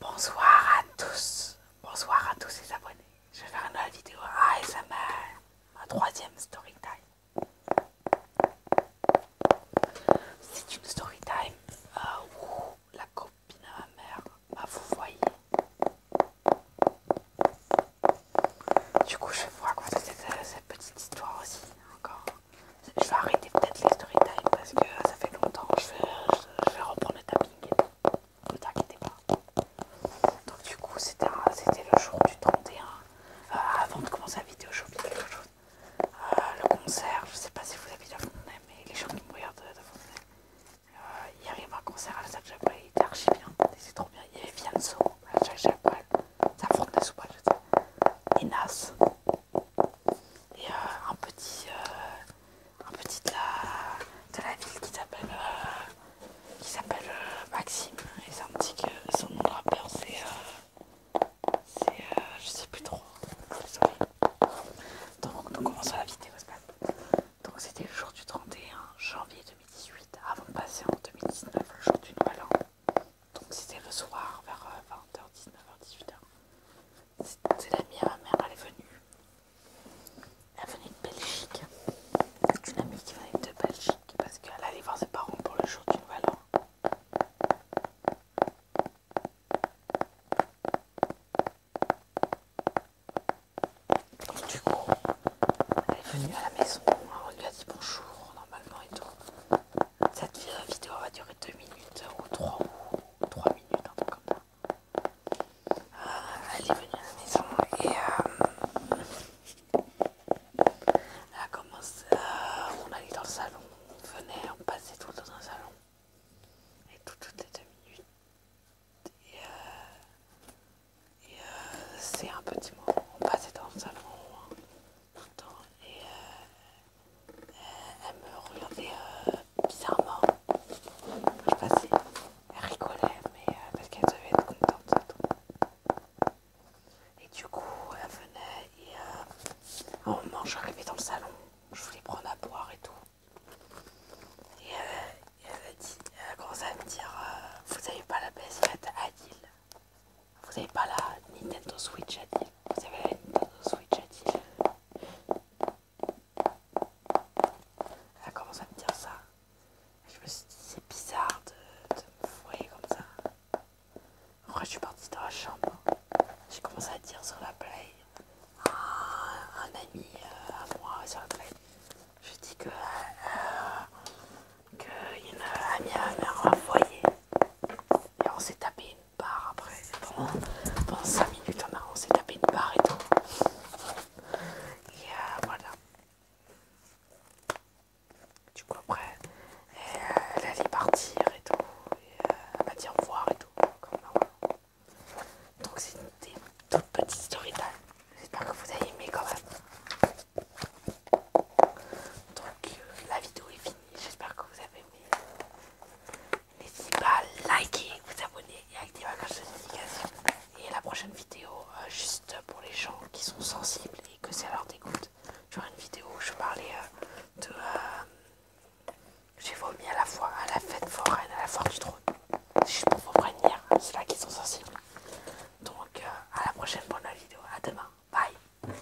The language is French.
Bonsoir à tous, bonsoir à tous les abonnés. Je vais faire une nouvelle vidéo mère ma troisième story time. C'est une story time euh, où la copine de ma mère m'a fourvoyée. Du coup, je vais vous raconter cette petite histoire aussi, encore. Je vais arrêter peut-être les story time parce que ça fait longtemps. Je vais, je, vais reprendre le tapping. Ne t'inquiétez pas. Donc, du coup, c'était le jour du 31. Euh, avant de commencer la vidéo, j'ai oublié quelque chose. Euh, le concert, je sais pas si vous habitez à Fontenay, mais les gens qui me regardent de, de euh, Hier il y avait un concert à la salle Chapelle, il était archi bien, c'est trop bien. Il y avait Vianzo à la salle Chapelle, ça Fontenay sous pas, je sais. Et Nas, et euh, un petit euh, un petit de la, ville qui s'appelle euh, s'appelle Maxime et un petit son nom de rappeur c'est je sais plus trop donc nous commençons la vidéo donc c'était le jour du 31 janvier 2018 avant de passer en 2019 le jour du nouvel donc c'était le soir vers 20h 19h 18h c'est l'amie à ma mère, elle est venue. Elle venait de Belgique. C'est Une amie qui venait de Belgique parce qu'elle allait voir ses parents pour le jour du Nouvel An. du coup, elle est venue à la maison, on lui a dit bonjour normalement et tout. Cette vidéo va durer 2 minutes ou 3 3 minutes, en tout comme allez ah, venir à la maison et euh, euh, on allait dans le salon, on venait, on passait tout dans un salon. Et tout, toutes les deux minutes. Et, euh, euh, c'est un petit moment, on passait dans le salon hein, temps. Et, euh, elle me regardait euh, bizarrement. Je passais, elle rigolait, mais euh, parce qu'elle devait être contente. Et du coup, elle venait et à un moment, je dans le salon, je voulais prendre à boire et tout. Et elle, a commencé à me dire Vous n'avez pas la ps Adil vous avez pas la Nintendo Switch Adil vous avez la Nintendo Switch Adil ?» Elle commence à me dire ça. je me suis dit, c'est bizarre de, me fouiller comme ça. Moi, je suis partie dans la chambre. J'ai commencé à dire sur la play à un, ami euh, à moi sur la play. Je dis que. Euh, euh un à m'a envoyé. Et on s'est tapé Bar après. Pendant, pendant 5 minutes, on, a, on s'est tapé une barre et tout. Et euh, voilà. Du coup, après, elle partir et tout. Et, dire euh, elle m'a dit au revoir et tout. Euh, Donc, c'est une des petite petites story J'espère que vous avez aimé quand même. Donc, la vidéo est finie. J'espère que vous avez aimé. N'hésitez pas à liker, vous abonner et activer la cloche de notification. Et la prochaine vidéo, euh, juste pour les gens qui sont sensibles et que c'est à leur dégoût. j'aurai une vidéo où je vais parler euh, de. Euh, j'ai vomi à la fois à la fête foraine, à la foire du trône. C'est juste pour vous prévenir, c'est là qu'ils sont sensibles. Donc, à la prochaine pour la vidéo. À demain. Bye.